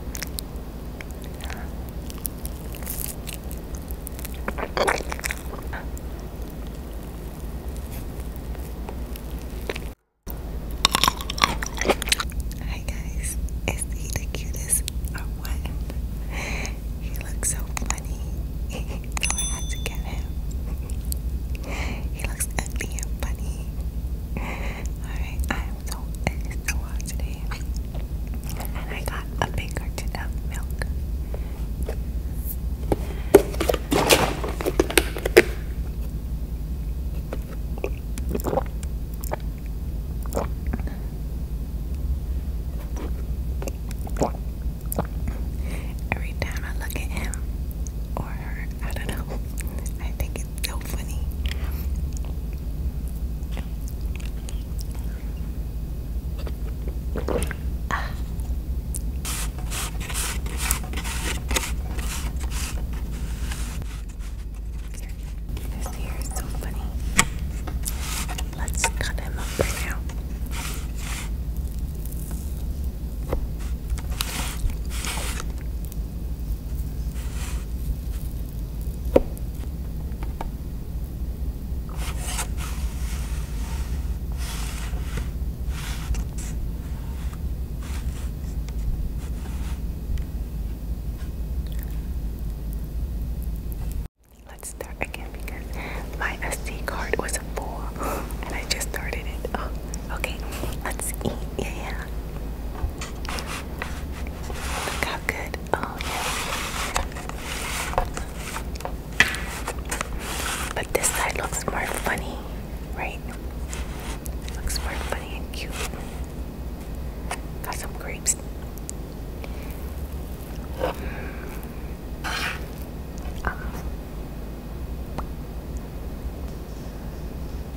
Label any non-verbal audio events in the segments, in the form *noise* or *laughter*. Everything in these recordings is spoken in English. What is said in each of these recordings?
Hi guys, is he the cutest or what? He looks so funny, *laughs* so I had to get him. *laughs* he looks ugly and funny. Alright, I am so excited. And I got a big carton of milk. Every time I look at him or her, I don't know, *laughs* I think it's so funny. Ah. This hair is so funny. Let's cut him up now. Let's start again because my SD card was full and I just started it. Oh, okay, let's eat. yeah good. Oh yeah. But this side looks more funny, right? Looks more funny and cute. Got some grapes. Um,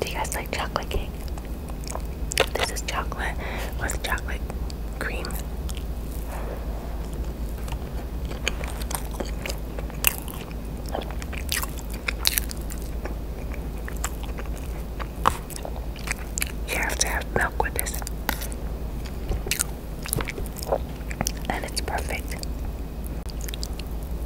Do you guys like chocolate cake? This is chocolate with chocolate cream. You have to have milk with this. And it's perfect.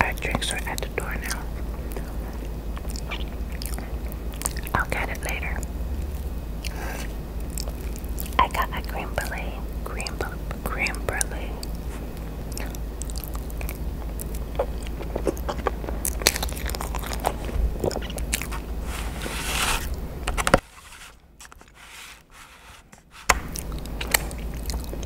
Our drinks are at the door now. I'll get it later. I got a green belay, green green berlay.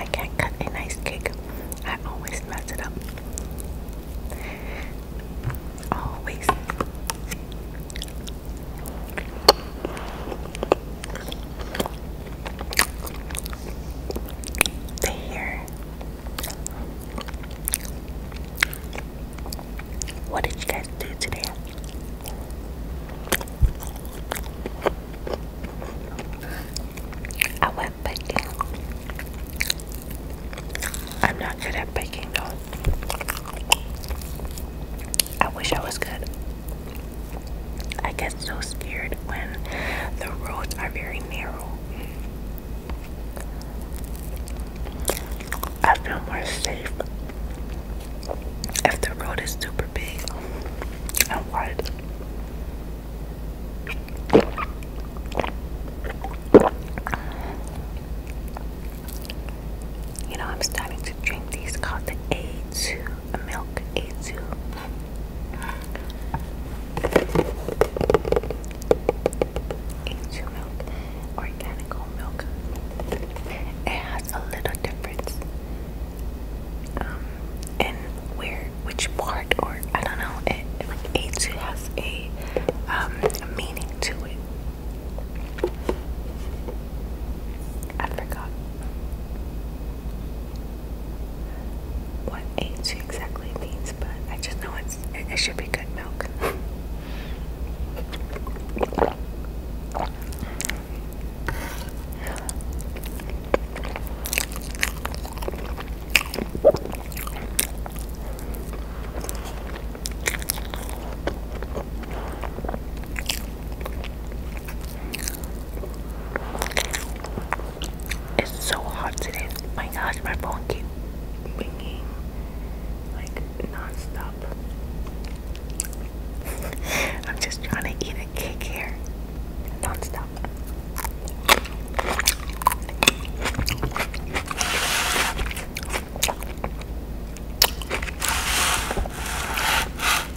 I can't cut a nice cake. I always mess it up. Always the hair. What did you guys do today? I went biking. I'm not good at biking though. I wish I was good. I get so scared when the roads are very narrow. I feel more safe if the road is super big and wide. You know, I'm starting to drink these called the milk a it's your milk, organic milk. It has a little difference um, in where, which part, or I don't know. It like each has a um, meaning to it. I forgot what H exactly means, but I just know it's it should be good milk. It's so hot today. My gosh, my phone keeps ringing like non-stop. *laughs* I'm just trying to eat a cake here. Non-stop.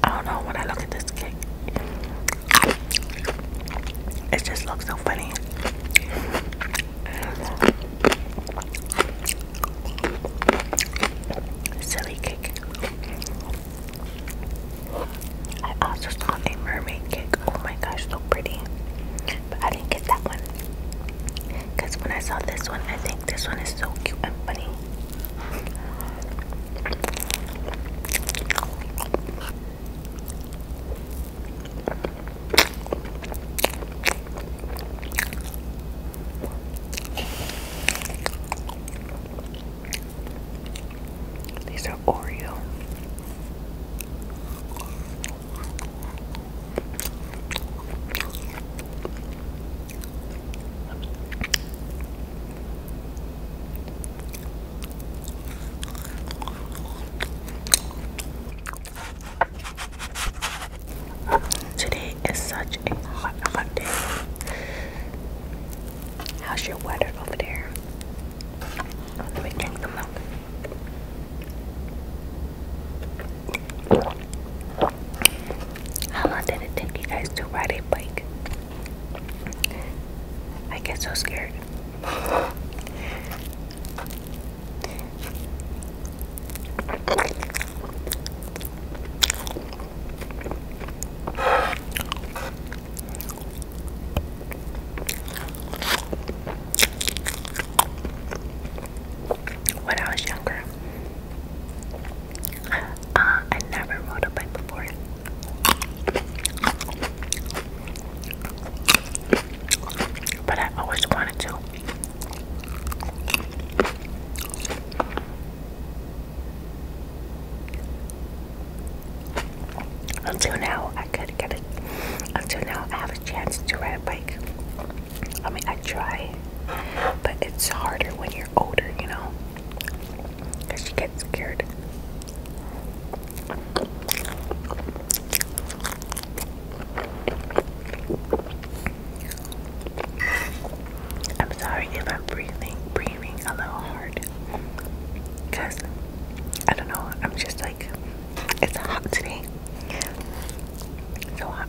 I don't know when I look at this cake. It just looks so funny. Silly cake. I also saw a mermaid cake. Oh my gosh, so pretty. But I didn't get that one. Because when I saw this one, I think this one is so cute and funny. These are Oreo. Today is such a hot, hot day. How's your weather over there? let me drink the milk. How long did it take you guys to ride a bike? I get so scared. When I was younger, uh, I never rode a bike before. But I always wanted to. Until now, I could get it. Until now, I have a chance to ride a bike. I mean, I try, but it's harder when you're older, you know. Because she gets scared. I'm sorry if I'm breathing breathing a little hard. Cause I don't know, I'm just like it's hot today. So hot.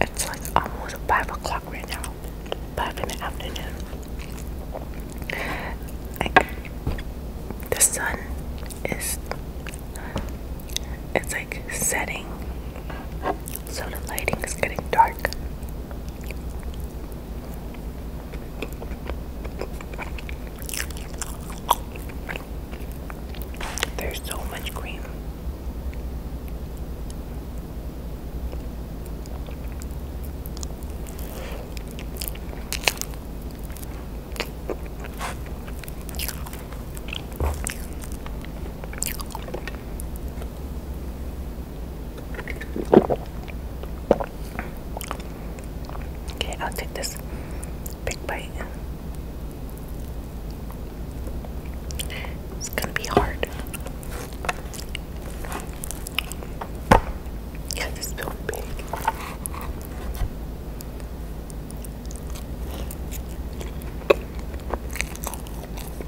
It's like almost five o'clock right now, five in the afternoon. the sun is it's like setting so the lighting is getting dark. There's so much cream. Okay, I'll take this big bite. It's gonna be hard. Yeah, this feels big.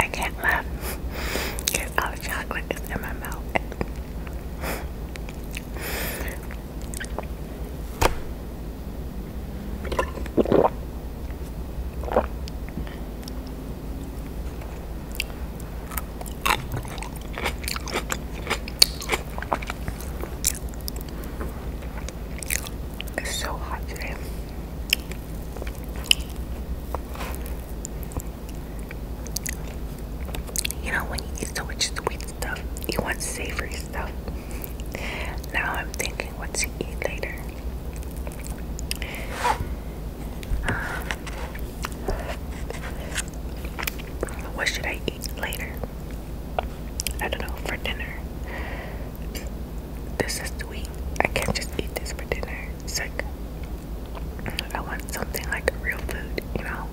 I can't laugh because all the chocolate is in my mouth. It's so hot today. You know, when you eat so much sweet stuff, you want savory stuff. Now I'm thinking what to eat later. Um, what should I eat later? I don't know, for dinner. This is sweet. I can't just eat this for dinner. It's like, I want something like real food, you know?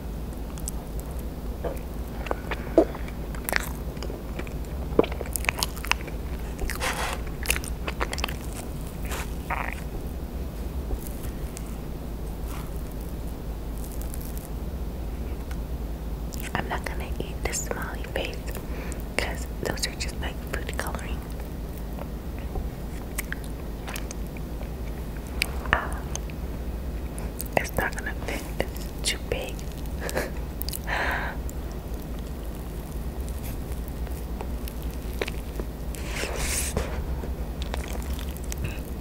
I'm not gonna eat the smiley face because those are just like food coloring. Ah, it's not gonna fit, too big. *laughs*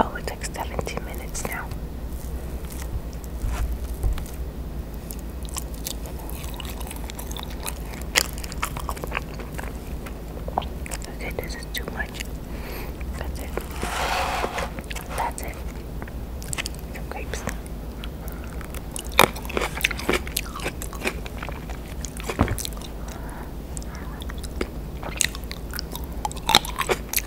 Oh, it takes 17 minutes now. Okay, this is too much. That's it. That's it. Some grapes. I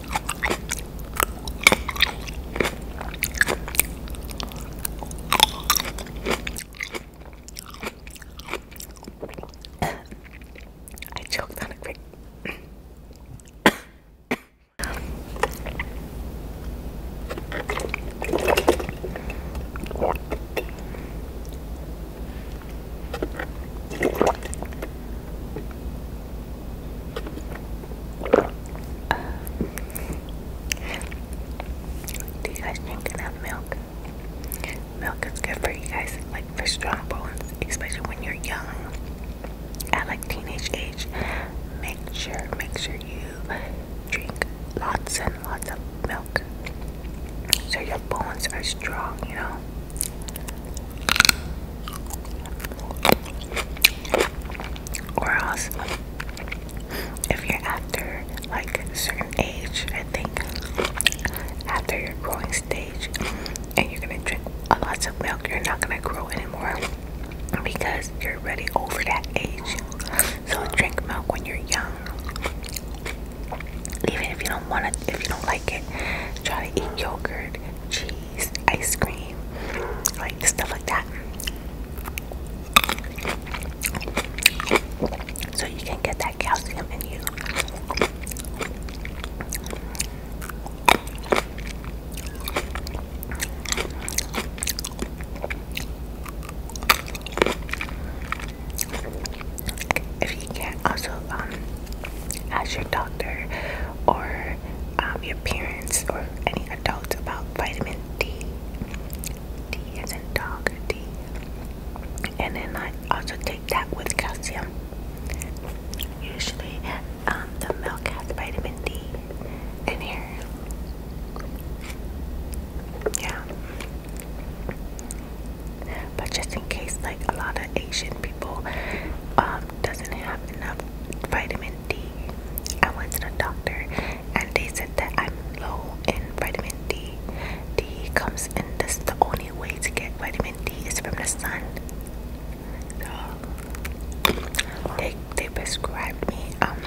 choked on a quick. Do you guys drink enough milk? Milk is good for you guys, like for strong bones, especially when you're young. At like teenage age, make sure, make sure you drink lots and lots of milk so your bones are strong, you know. Or else, if you're after like a certain age, I think after your growing stage, and you're gonna drink a lot of milk, you're not gonna grow anymore because you're already over that age. So drink milk when you're young, even if you if you don't like it, try to eat yogurt, cheese, ice cream, like stuff like that. So you can get that calcium in you. If you can, also um, ask your doctor or um, your parents or any adult about vitamin D. D is dog D. And then I also take that with calcium. Usually, um, the milk has vitamin D in here. Yeah. But just in case, like a lot of Asian people um, doesn't have enough vitamin D. I went to the doctor and they said that I'm low in vitamin D. D comes in this is the only way to get vitamin D is from the sun. So they they prescribed me um,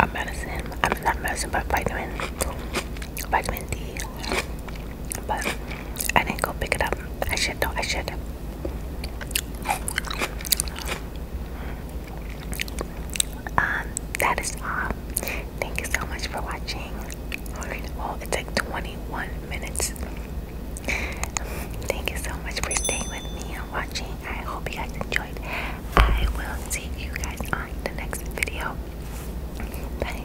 a medicine. I am not medicine but vitamin vitamin D but I didn't go pick it up. I should though, I should. Um, that is all. Thank you so much for watching. Alright, well it's like 21 minutes. Thank you so much for staying with me and watching. I hope you guys enjoyed. I will see you guys on the next video. Bye.